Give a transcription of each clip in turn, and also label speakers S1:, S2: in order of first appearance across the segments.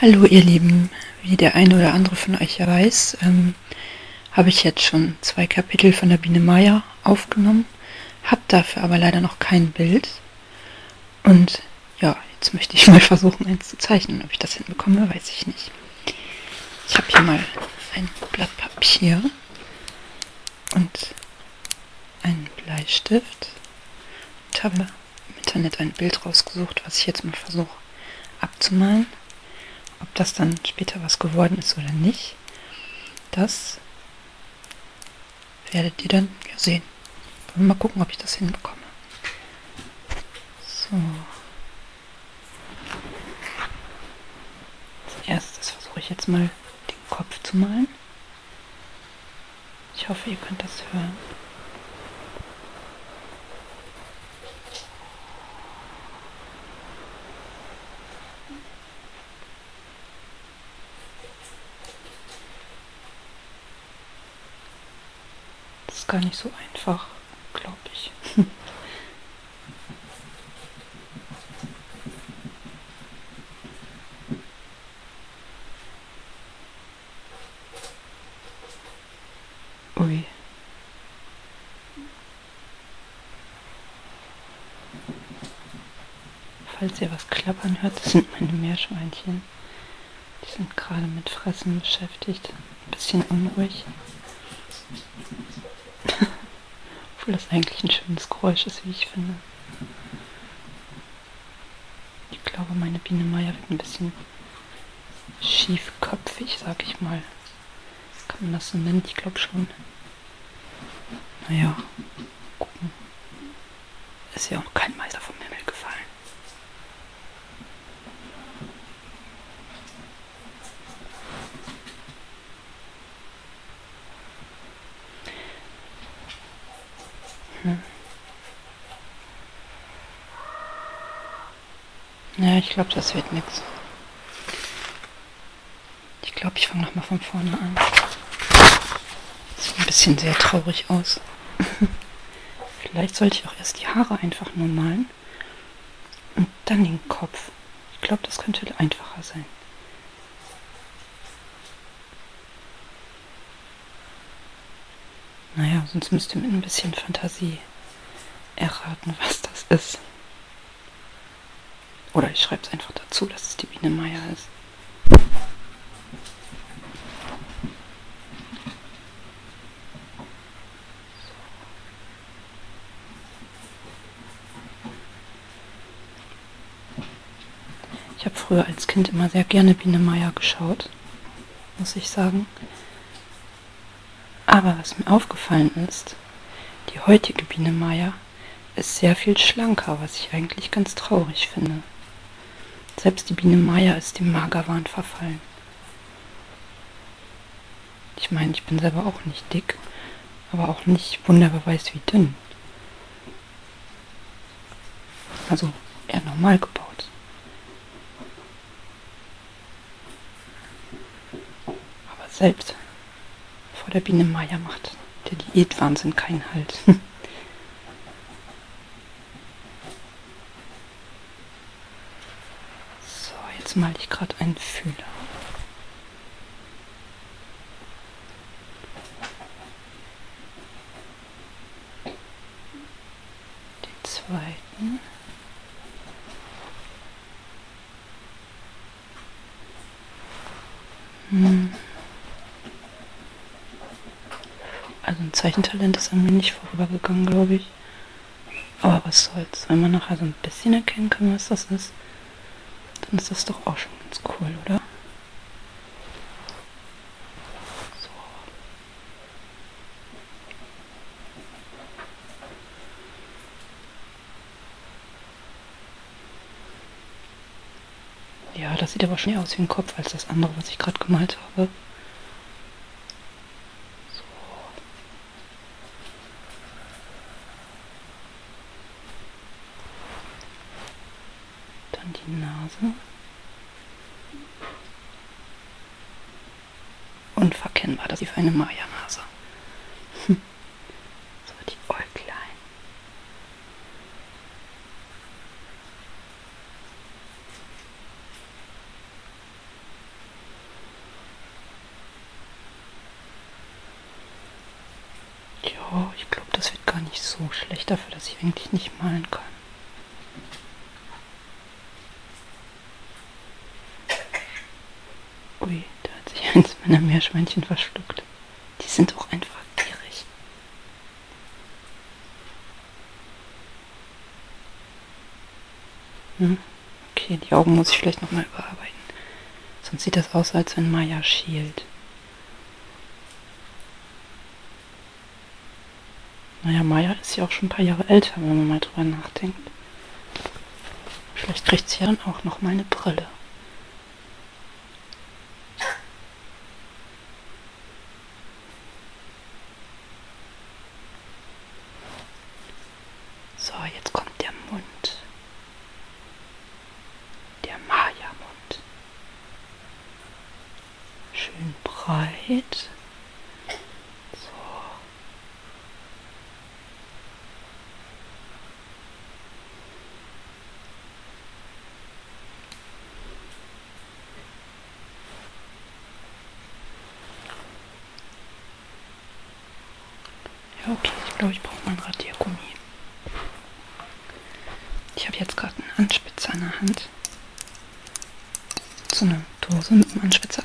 S1: Hallo ihr Lieben, wie der eine oder andere von euch ja weiß, ähm, habe ich jetzt schon zwei Kapitel von der Biene Meier aufgenommen, habe dafür aber leider noch kein Bild. Und ja, jetzt möchte ich mal versuchen, eins zu zeichnen. Ob ich das hinbekomme, weiß ich nicht. Ich habe hier mal ein Blatt Papier und einen Bleistift und habe im Internet ein Bild rausgesucht, was ich jetzt mal versuche abzumalen. Ob das dann später was geworden ist oder nicht, das werdet ihr dann ja sehen. Wollen wir mal gucken, ob ich das hinbekomme. So. Als erstes versuche ich jetzt mal den Kopf zu malen. Ich hoffe, ihr könnt das hören. Das ist gar nicht so einfach, glaube ich. Ui. Falls ihr was klappern hört, das sind meine Meerschweinchen. Die sind gerade mit Fressen beschäftigt. Ein bisschen unruhig. Obwohl das eigentlich ein schönes Geräusch ist, wie ich finde. Ich glaube, meine Biene Meier wird ein bisschen schiefköpfig, sag ich mal. Kann man das so nennen? Ich glaube schon. Naja, gucken. Ist ja auch kein Meister vom Himmel gefallen. Hm. Ja, ich glaube, das wird nichts. Ich glaube, ich fange nochmal von vorne an. Das sieht ein bisschen sehr traurig aus. Vielleicht sollte ich auch erst die Haare einfach nur malen und dann den Kopf. Ich glaube, das könnte einfacher sein. Naja, sonst müsst ihr mit ein bisschen Fantasie erraten, was das ist. Oder ich schreibe es einfach dazu, dass es die Biene Meier ist. So. Ich habe früher als Kind immer sehr gerne Biene Meier geschaut, muss ich sagen. Aber was mir aufgefallen ist, die heutige Biene Meier ist sehr viel schlanker, was ich eigentlich ganz traurig finde. Selbst die Biene Meier ist dem Magerwahn verfallen. Ich meine, ich bin selber auch nicht dick, aber auch nicht wunderbar weiß wie dünn. Also eher normal gebaut. Aber selbst vor der Biene Maya macht der Diätwahnsinn keinen Halt. so, jetzt male ich gerade einen Fühler den zweiten. Hm. Also ein Zeichentalent ist an mir nicht vorübergegangen, glaube ich. Aber was soll's, wenn man nachher so ein bisschen erkennen kann, was das ist, dann ist das doch auch schon ganz cool, oder? So. Ja, das sieht aber schon eher aus wie ein Kopf als das andere, was ich gerade gemalt habe dann die Nase unverkennbar, das ist eine Maya-Nase. so die Äuglein. Ja, ich glaube, das wird gar nicht so schlecht dafür, dass ich eigentlich nicht malen kann. Ui, da hat sich eins meiner Meerschweinchen verschluckt. Die sind auch einfach gierig. Hm? Okay, die Augen muss ich vielleicht nochmal überarbeiten. Sonst sieht das aus, als wenn Maya schielt. Naja, Maya ist ja auch schon ein paar Jahre älter, wenn man mal drüber nachdenkt. Vielleicht kriegt sie ja dann auch noch mal eine Brille. So, jetzt kommt der Mund. Der Maya-Mund. Schön breit. okay, ich glaube, ich brauche mal ein Radiergummi. Ich habe jetzt gerade einen Anspitzer in der Hand. So eine Dose mit einem Anspitzer.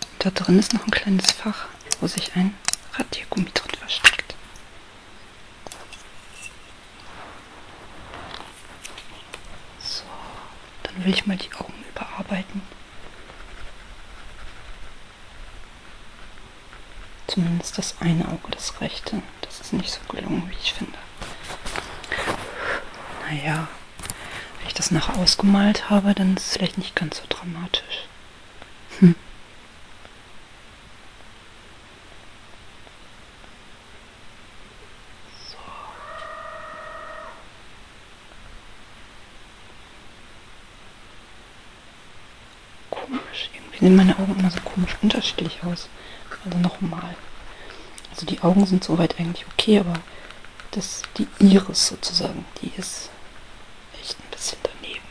S1: Und da drin ist noch ein kleines Fach, wo sich ein Radiergummi drin versteckt. So, dann will ich mal die Augen überarbeiten. Zumindest das eine Auge, das rechte. Das ist nicht so gelungen, wie ich finde. Naja, wenn ich das nach ausgemalt habe, dann ist es vielleicht nicht ganz so dramatisch. Hm komisch. Irgendwie sehen meine Augen immer so komisch unterschiedlich aus. Also nochmal. Also die Augen sind soweit eigentlich okay, aber das, die Iris sozusagen, die ist echt ein bisschen daneben.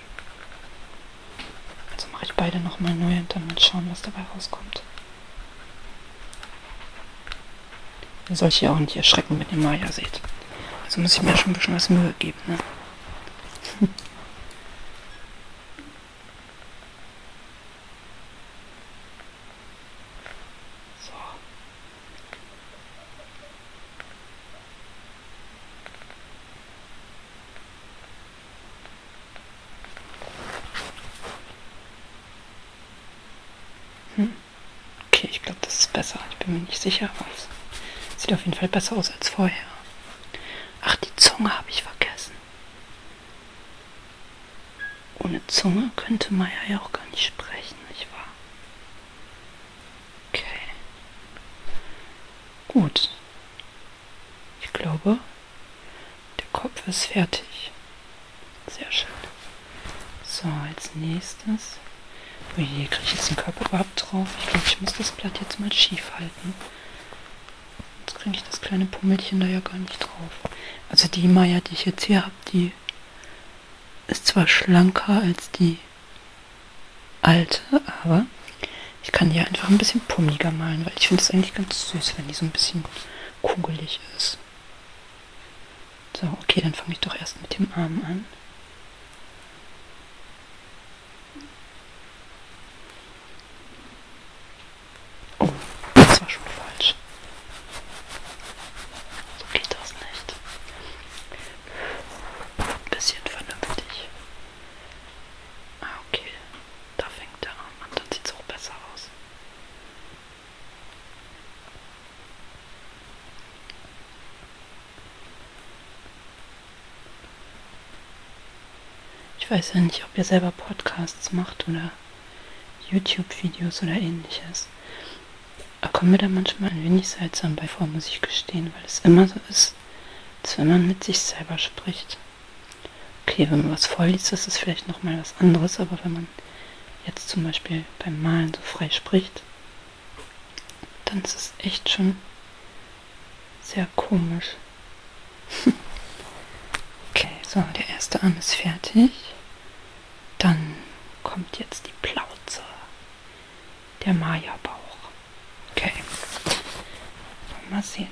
S1: Also mache ich beide nochmal neu und dann mal schauen, was dabei rauskommt. Ihr sollt ja auch nicht erschrecken, wenn ihr Maya seht. Also muss ich mir schon ein bisschen was Mühe geben. Ne? So. Hm. Okay, ich glaube, das ist besser. Ich bin mir nicht sicher, aber es sieht auf jeden Fall besser aus als vorher. Ach, die Zunge habe ich vergessen. Ohne Zunge könnte Maya ja auch gar nicht sprechen, nicht wahr? Okay. Gut. Ich glaube, der Kopf ist fertig. Sehr schön. So, als nächstes. Oh je, kriege ich jetzt den Körper überhaupt drauf? Ich glaube, ich muss das Blatt jetzt mal schief halten. Sonst kriege ich das kleine Pummelchen da ja gar nicht drauf. Also die Maya, die ich jetzt hier habe, die ist zwar schlanker als die alte, aber ich kann die einfach ein bisschen pummeliger malen, weil ich finde es eigentlich ganz süß, wenn die so ein bisschen kugelig ist. So, okay, dann fange ich doch erst mit dem Arm an. Oh, das war schon falsch. So geht das nicht. Ein bisschen vernünftig. Ah, okay. Da fängt der Arm an, dann sieht es auch besser aus. Ich weiß ja nicht, ob ihr selber Podcasts macht oder YouTube-Videos oder ähnliches. Da kommt mir da manchmal ein wenig seltsam bei vor, muss ich gestehen, weil es immer so ist, als wenn man mit sich selber spricht. Okay, wenn man was vorliest, ist es vielleicht nochmal was anderes, aber wenn man jetzt zum Beispiel beim Malen so frei spricht, dann ist es echt schon sehr komisch. okay, so, der erste Arm ist fertig. Dann kommt jetzt die Plauze. Der Maya-Bauch. Okay. Mal sehen.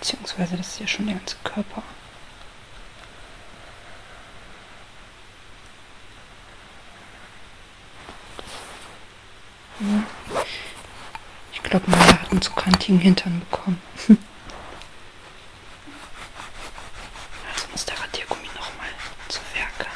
S1: Beziehungsweise das ist ja schon der ganze Körper. Hm. Ich glaube, man hat einen zu kantigen Hintern bekommen. Also muss der Radiergummi nochmal zu Werke.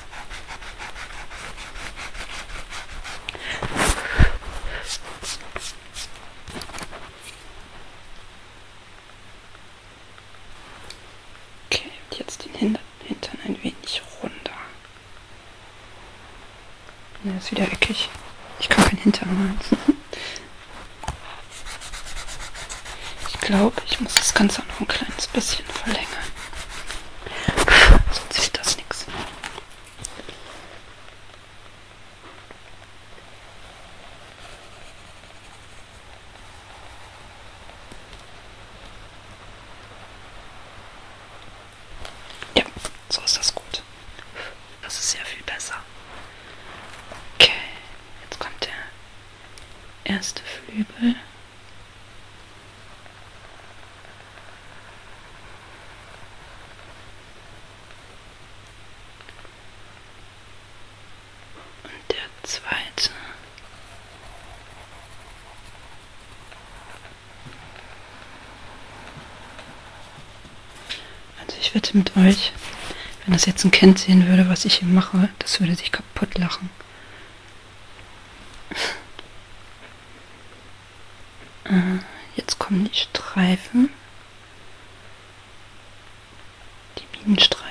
S1: Okay, jetzt den Hintern, Hintern ein wenig runter. Ja, ist wieder eckig. Ich kann keinen Hintern machen. Ich glaube, ich muss das Ganze noch ein kleines bisschen verlängern. Sonst ist das nichts. Ja, so ist das gut. Das ist sehr viel besser. Okay, jetzt kommt der erste Flügel. Und der zweite. Also ich wette mit euch, wenn das jetzt ein Kind sehen würde, was ich hier mache, das würde sich kaputt lachen. Äh, jetzt kommen die Streifen. Die Bienenstreifen.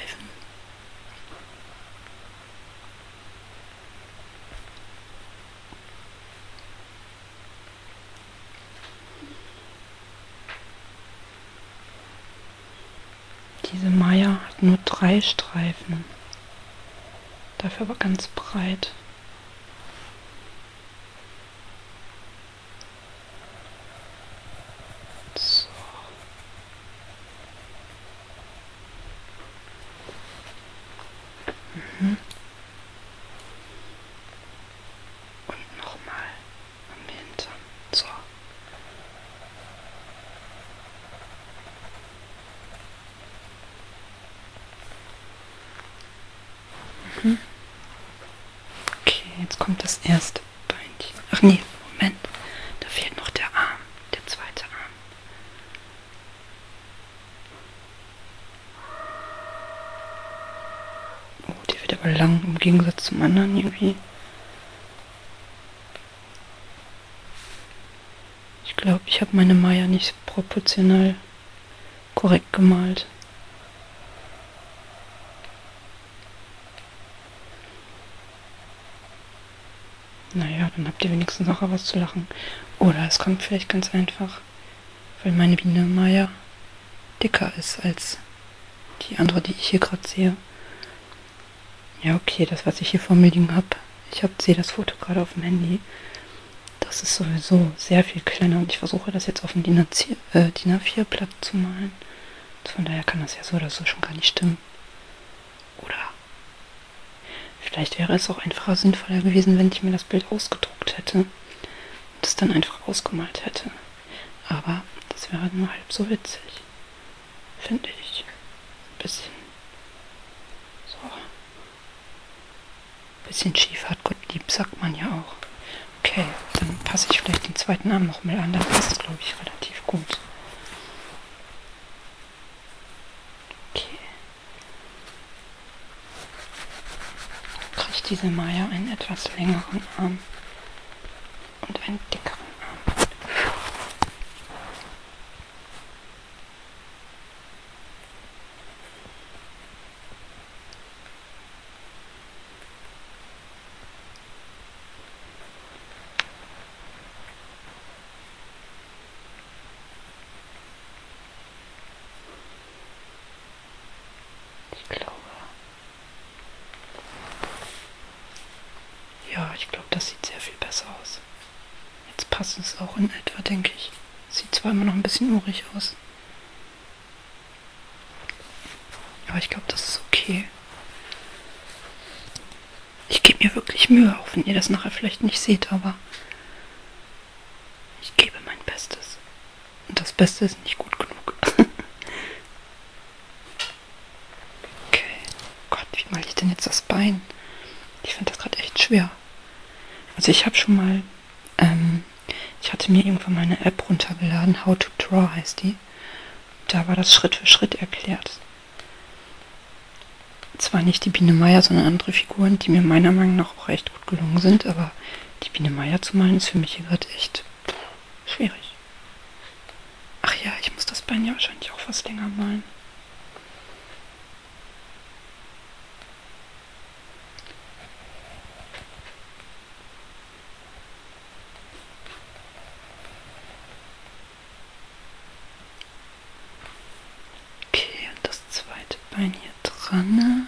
S1: Diese Meier hat nur drei Streifen, dafür aber ganz breit. So. Mhm. Und nochmal am Hintern. So. Mhm. Okay, jetzt kommt das erste Beinchen. Ach nee, Moment. Da fehlt noch der Arm, der zweite Arm. Oh, der wird aber lang im Gegensatz zum anderen irgendwie. Ich glaube, ich habe meine Maya nicht proportional korrekt gemalt. Naja, dann habt ihr wenigstens nachher was zu lachen. Oder es kommt vielleicht ganz einfach, weil meine Biene Maya dicker ist als die andere, die ich hier gerade sehe. Ja, okay, das, was ich hier vor mir liegen habe. Ich hab, sehe das Foto gerade auf dem Handy. Das ist sowieso sehr viel kleiner und ich versuche das jetzt auf dem DIN äh, A4-Blatt zu malen. Also von daher kann das ja so oder so schon gar nicht stimmen. Oder vielleicht wäre es auch einfacher sinnvoller gewesen, wenn ich mir das Bild ausgedruckt hätte und es dann einfach ausgemalt hätte. Aber das wäre nur halb so witzig. Finde ich. Ein bisschen. So. Bisschen schief hat Gott lieb, sagt man ja auch. Okay, dann passe ich vielleicht den zweiten Arm nochmal an, dann passt es, glaube ich, relativ gut. Okay. Kriegt diese Maya einen etwas längeren Arm und einen dickeren Arm. Ich glaube. Ja, ich glaube, das sieht sehr viel besser aus. Jetzt passt es auch in etwa, denke ich. Sieht zwar immer noch ein bisschen urig aus. Aber ich glaube, das ist okay. Ich gebe mir wirklich Mühe, auch wenn ihr das nachher vielleicht nicht seht, aber ich gebe mein Bestes. Und das Beste ist nicht gut genug. okay. Gott, wie male ich denn jetzt das Bein? Ich finde das gerade echt schwer. Also ich habe schon mal ähm, ich hatte mir irgendwann mal eine App runtergeladen, How to Draw heißt die. Da war das Schritt für Schritt erklärt. Zwar nicht die Biene Meier, sondern andere Figuren, die mir meiner Meinung nach auch recht gut gelungen sind, aber die Biene Meier zu malen ist für mich hier gerade echt schwierig. Ach ja, ich muss das Bein ja wahrscheinlich auch was länger malen. Okay, und das zweite Bein hier dran.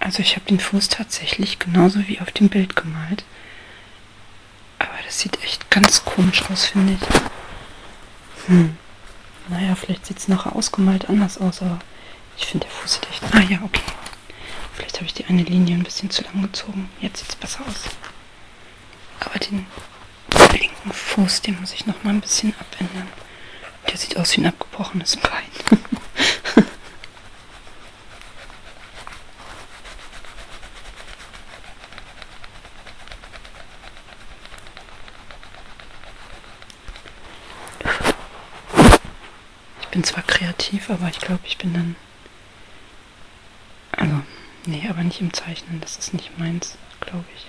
S1: Also ich habe den Fuß tatsächlich genauso wie auf dem Bild gemalt. Aber das sieht echt ganz komisch aus, finde ich. Hm. Naja, vielleicht sieht es nachher ausgemalt anders aus, aber ich finde der Fuß sieht echt... Ah ja, okay. Vielleicht habe ich die eine Linie ein bisschen zu lang gezogen. Jetzt sieht es besser aus. Aber den linken Fuß, den muss ich noch mal ein bisschen abändern. Der sieht aus wie ein abgebrochenes Bein. Ich bin zwar kreativ, aber ich glaube, ich bin dann... Also, nee, aber nicht im Zeichnen. Das ist nicht meins, glaube ich.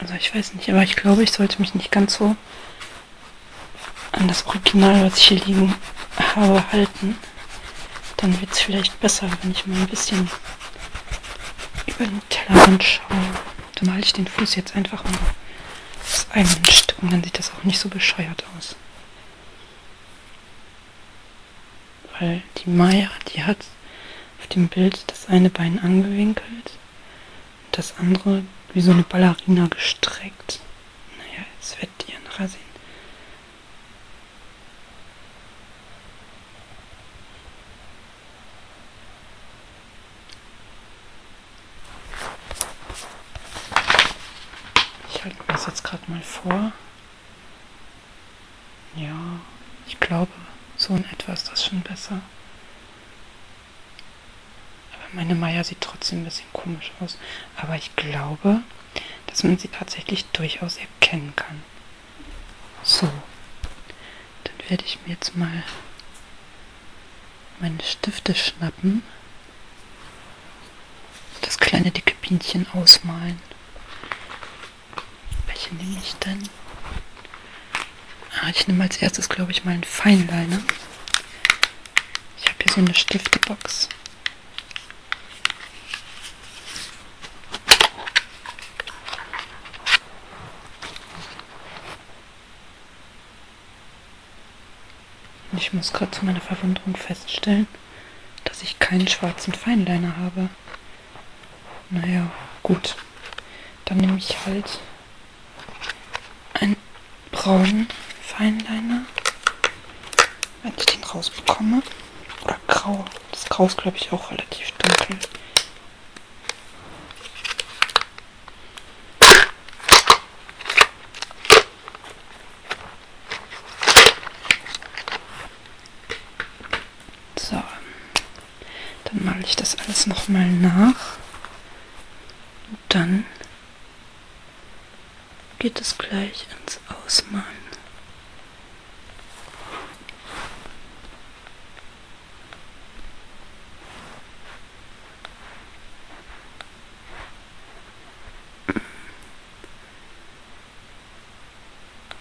S1: Also ich weiß nicht, aber ich glaube, ich sollte mich nicht ganz so an das Original, was ich hier liegen habe, halten. Dann wird es vielleicht besser, wenn ich mal ein bisschen über den Tellerrand schaue. Dann male ich den Fuß jetzt einfach mal das einmischt und dann sieht das auch nicht so bescheuert aus. Weil die Maya, die hat auf dem Bild das eine Bein angewinkelt, das andere wie so eine Ballerina gestreckt. Naja, jetzt werdet ihr nachher sehen. Ich halte mir das jetzt gerade mal vor. Ja, ich glaube, so in etwa ist das schon besser. Aber meine Maya sieht trotzdem ein bisschen komisch aus. Aber ich glaube, dass man sie tatsächlich durchaus erkennen kann. So, dann werde ich mir jetzt mal meine Stifte schnappen und das kleine dicke Bienchen ausmalen. Welche nehme ich denn? Ah, ich nehme als erstes, glaube ich, mal einen Feinliner. Ich habe hier so eine Stiftebox. Ich muss gerade zu meiner Verwunderung feststellen, dass ich keinen schwarzen Feinliner habe. Naja, gut. Dann nehme ich halt einen braunen Feinliner wenn ich den rausbekomme. Oder grau. Das Grau ist, glaube ich, auch relativ dunkel. So. Dann male ich das alles nochmal nach. Und dann geht es gleich ins Ausmalen.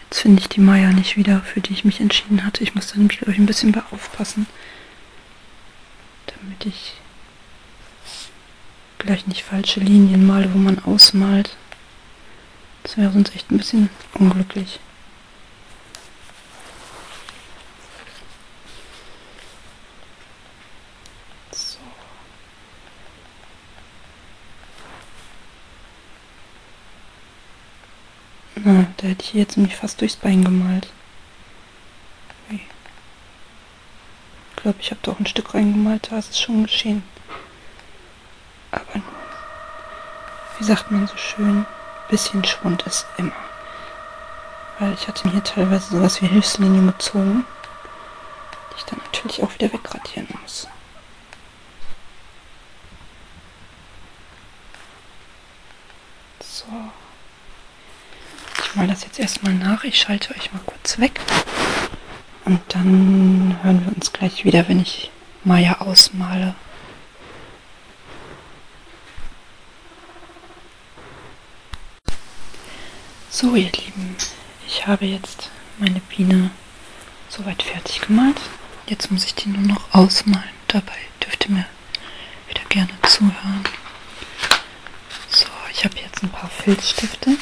S1: Jetzt finde ich die Meier nicht wieder, für die ich mich entschieden hatte. Ich muss da nämlich, glaube ich, ein bisschen bei aufpassen, damit ich gleich nicht falsche Linien male, wo man ausmalt. Das wäre sonst echt ein bisschen unglücklich. So. Na, da hätte ich jetzt nämlich fast durchs Bein gemalt. Okay. Ich glaube, ich habe da auch ein Stück reingemalt, da ist es schon geschehen. Aber nun, wie sagt man so schön, bisschen Schwund ist immer. Weil ich hatte mir teilweise sowas wie Hilfslinien gezogen, die ich dann natürlich auch wieder wegradieren muss. So. Ich mal das jetzt erstmal nach. Ich schalte euch mal kurz weg. Und dann hören wir uns gleich wieder, wenn ich Maya ausmale. So, ihr Lieben, ich habe jetzt meine Biene soweit fertig gemalt. Jetzt muss ich die nur noch ausmalen. Dabei dürft ihr mir wieder gerne zuhören. So, ich habe jetzt ein paar Filzstifte.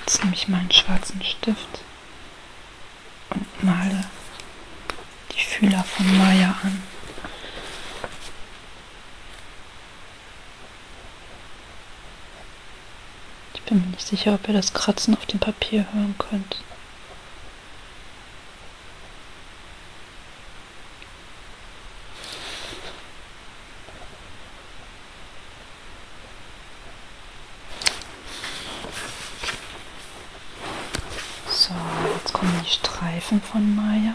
S1: Jetzt nehme ich meinen schwarzen Stift und male die Fühler von Maya an. Ich bin mir nicht sicher, ob ihr das Kratzen auf dem Papier hören könnt. So, jetzt kommen die Streifen von Maya.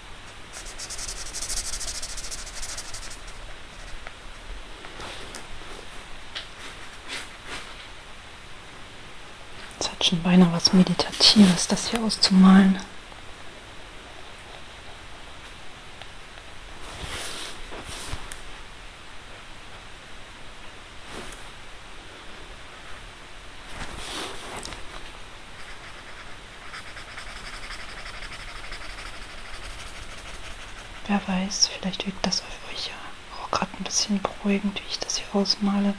S1: Es hat schon beinahe was Meditatives, das hier auszumalen. Wer weiß, vielleicht wirkt das auf euch ja auch gerade ein bisschen beruhigend, wie ich das hier ausmale.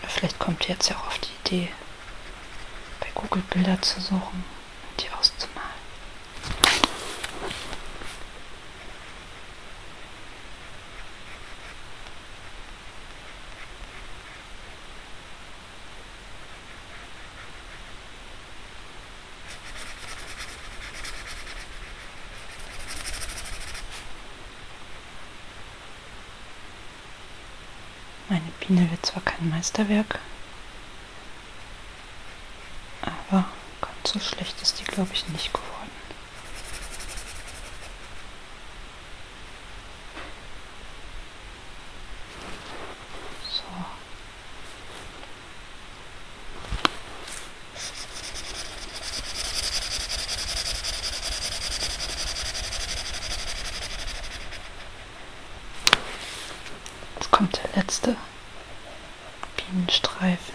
S1: Oder vielleicht kommt ihr jetzt ja auch auf die Idee, bei Google Bilder zu suchen und die auszumalen. Meine Biene wird zwar kein Meisterwerk, aber ganz so schlecht ist die, glaube ich, nicht geworden kommt der letzte Bienenstreifen.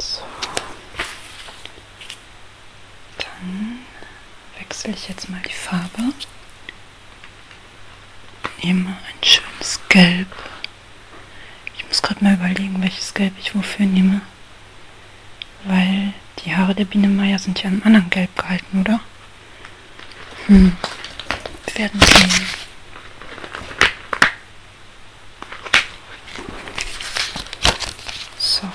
S1: So. Dann wechsle ich jetzt mal die Farbe. Nehme ein schönes Gelb. Ich muss gerade mal überlegen, welches Gelb ich wofür nehme. Weil die Haare der Biene Meier sind ja in einem anderen Gelb gehalten, oder? Hm. Wir werden sehen. So.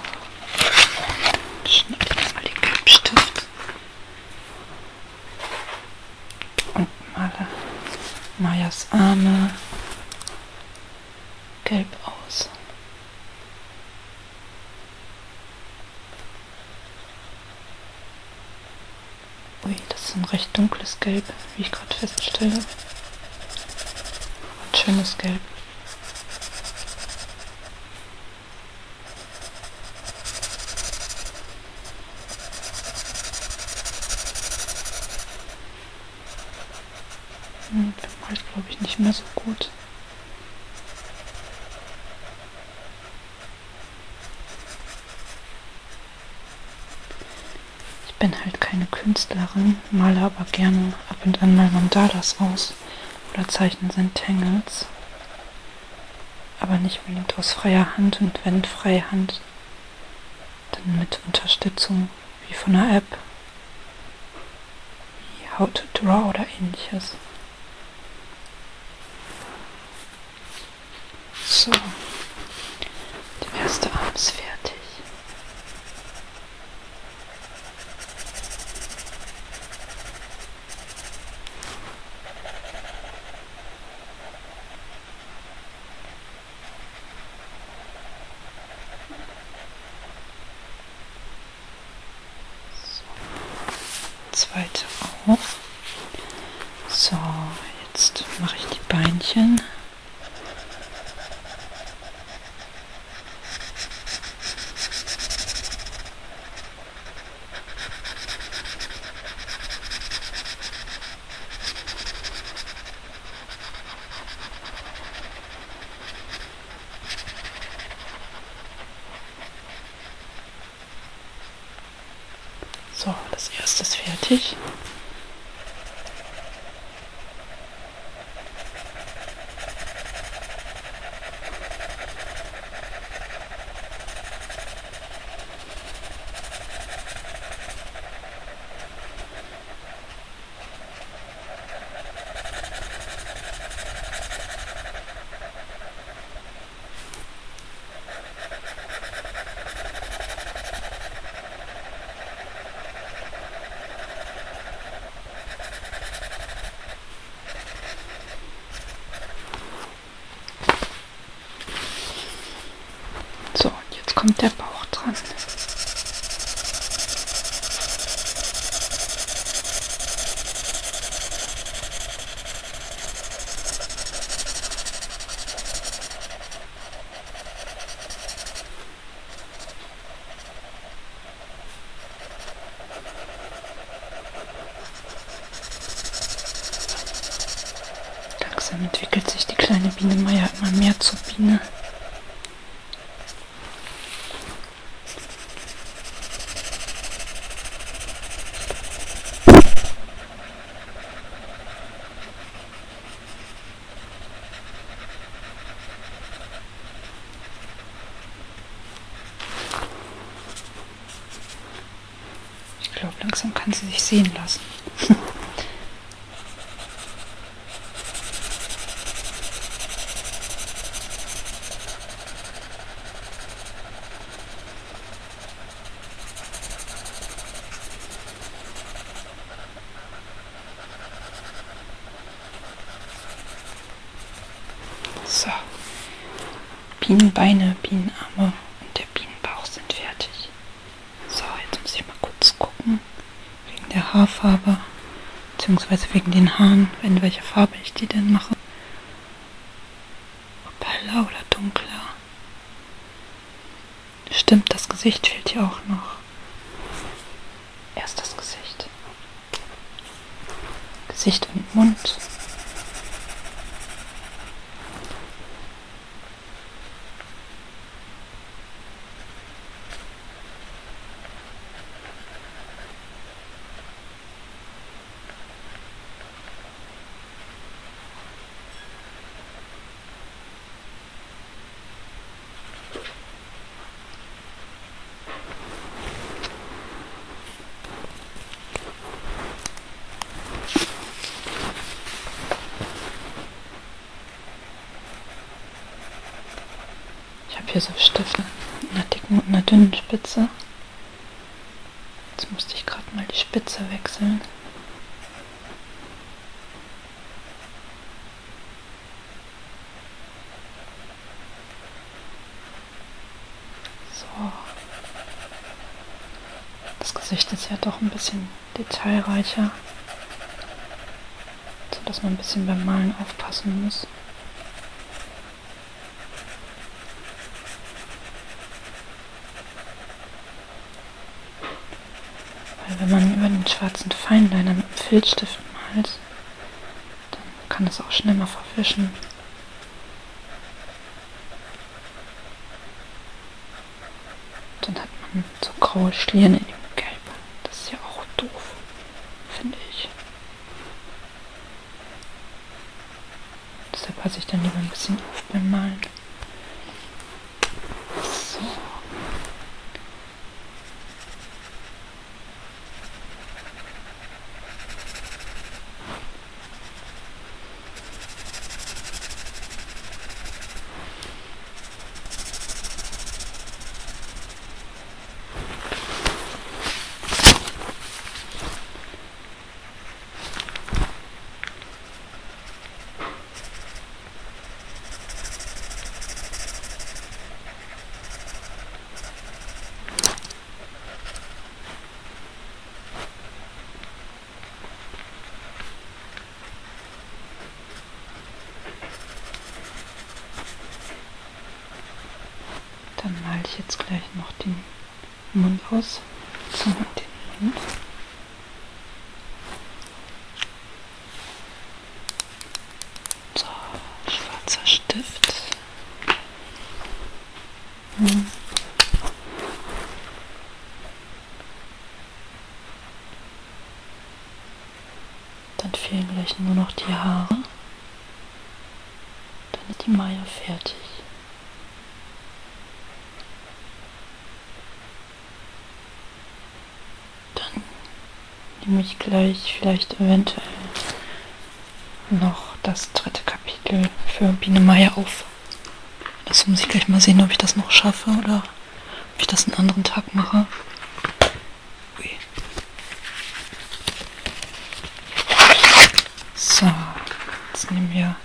S1: Schneide ich mal den Gelbstift. Und male Mayas Arme gelb aus. Ui, das ist ein recht dunkles Gelb, wie ich gerade feststelle. Ein schönes Gelb. Hm, halt, glaube ich, nicht mehr so gut. Ich bin halt keine Künstlerin, male aber gerne ab und an mal Mandalas aus oder zeichne Sentangles. Aber nicht unbedingt aus freier Hand und wenn freie Hand, dann mit Unterstützung wie von einer App, wie How to Draw oder ähnliches. So, der erste Arm ist fertig. So zweite auch. So, jetzt mache ich die Beinchen. So, das erste ist fertig. So, und jetzt kommt der Bauch dran. Langsam entwickelt sich die kleine Biene Meier immer mehr zur Biene. Ich glaube, langsam kann sie sich sehen lassen. So. Bienenbeine, Bienenarme und der Bienenbauch sind fertig. So, jetzt muss ich mal kurz gucken. Wegen der Haarfarbe. Beziehungsweise wegen den Haaren, in welcher Farbe ich die denn mache. Ob heller oder dunkler. Stimmt, das Gesicht fehlt hier auch noch. Erst das Gesicht. Gesicht und Mund. Ich habe hier so Stifte mit einer dicken und einer dünnen Spitze. Jetzt musste ich gerade mal die Spitze wechseln. So. Das Gesicht ist ja doch ein bisschen detailreicher, sodass man ein bisschen beim Malen aufpassen muss. Weil wenn man über den schwarzen Feinliner mit dem Filzstift malt, dann kann es auch schnell mal verwischen. Dann hat man so graue Stirn in dem Gelb. Das ist ja auch doof, finde ich. Deshalb passe ich dann lieber ein bisschen auf beim Malen. So. Dann male ich jetzt gleich noch den Mund raus. Zunge in den Mund. So, schwarzer Stift. Hm. Dann fehlen gleich nur noch die Haare. Dann ist die Maya fertig. Dann nehme ich gleich vielleicht eventuell noch das dritte Kapitel für Biene Meier auf. Das muss ich gleich mal sehen, ob ich das noch schaffe oder ob ich das einen anderen Tag mache. Ui. So, jetzt nehmen wir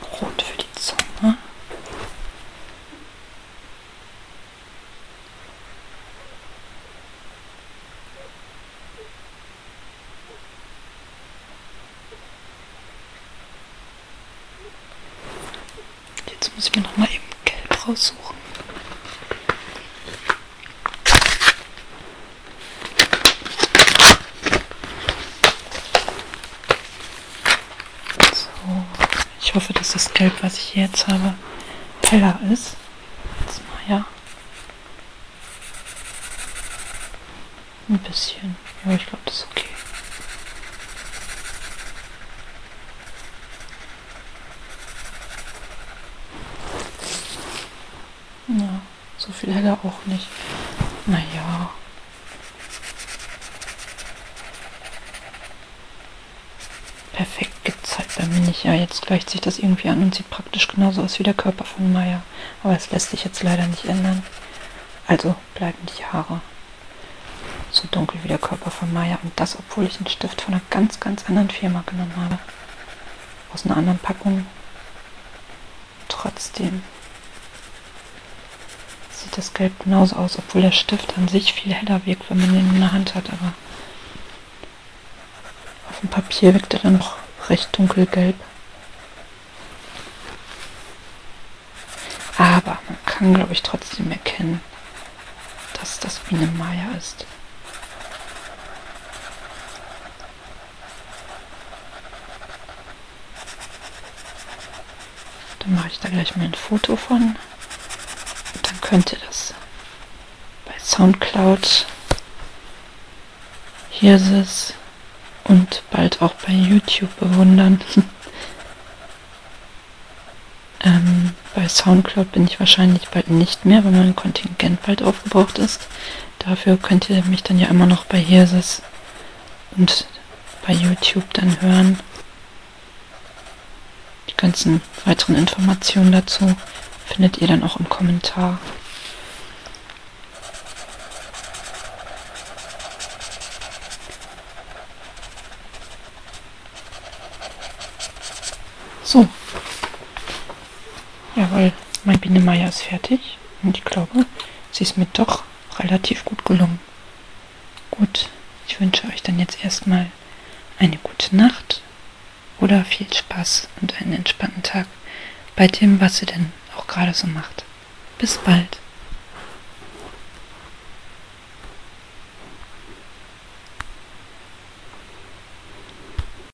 S1: Brot für die Zunge. Jetzt muss ich mir noch mal eben Gelb raussuchen. So. Ich hoffe, dass das Gelb, was ich jetzt habe, heller ist. Jetzt mal, ja. Ein bisschen. Ja, ich glaube, das ist okay. Ja, so viel hat er auch nicht. Naja. Perfekt gibt's halt bei mir nicht. Ja, jetzt gleicht sich das irgendwie an und sieht praktisch genauso aus wie der Körper von Maya. Aber es lässt sich jetzt leider nicht ändern. Also bleiben die Haare so dunkel wie der Körper von Maya. Und das, obwohl ich einen Stift von einer ganz, ganz anderen Firma genommen habe. Aus einer anderen Packung Trotzdem sieht das Gelb genauso aus, obwohl der Stift an sich viel heller wirkt, wenn man den in der Hand hat, aber auf dem Papier wirkt er dann noch recht dunkelgelb. Aber man kann, glaube ich, trotzdem erkennen, dass das Biene Maya ist. Dann mache ich da gleich mal ein Foto von. Und dann könnt ihr das bei Soundcloud. Hier ist es. Und bald auch bei YouTube bewundern. ähm, bei Soundcloud bin ich wahrscheinlich bald nicht mehr, weil mein Kontingent bald aufgebraucht ist. Dafür könnt ihr mich dann ja immer noch bei Hirses und bei YouTube dann hören. Die ganzen weiteren Informationen dazu findet ihr dann auch im Kommentar. So, Jawohl, mein Biene ist fertig und ich glaube, sie ist mir doch relativ gut gelungen. Gut, ich wünsche euch dann jetzt erstmal eine gute Nacht oder viel Spaß und einen entspannten Tag bei dem, was ihr denn auch gerade so macht. Bis bald.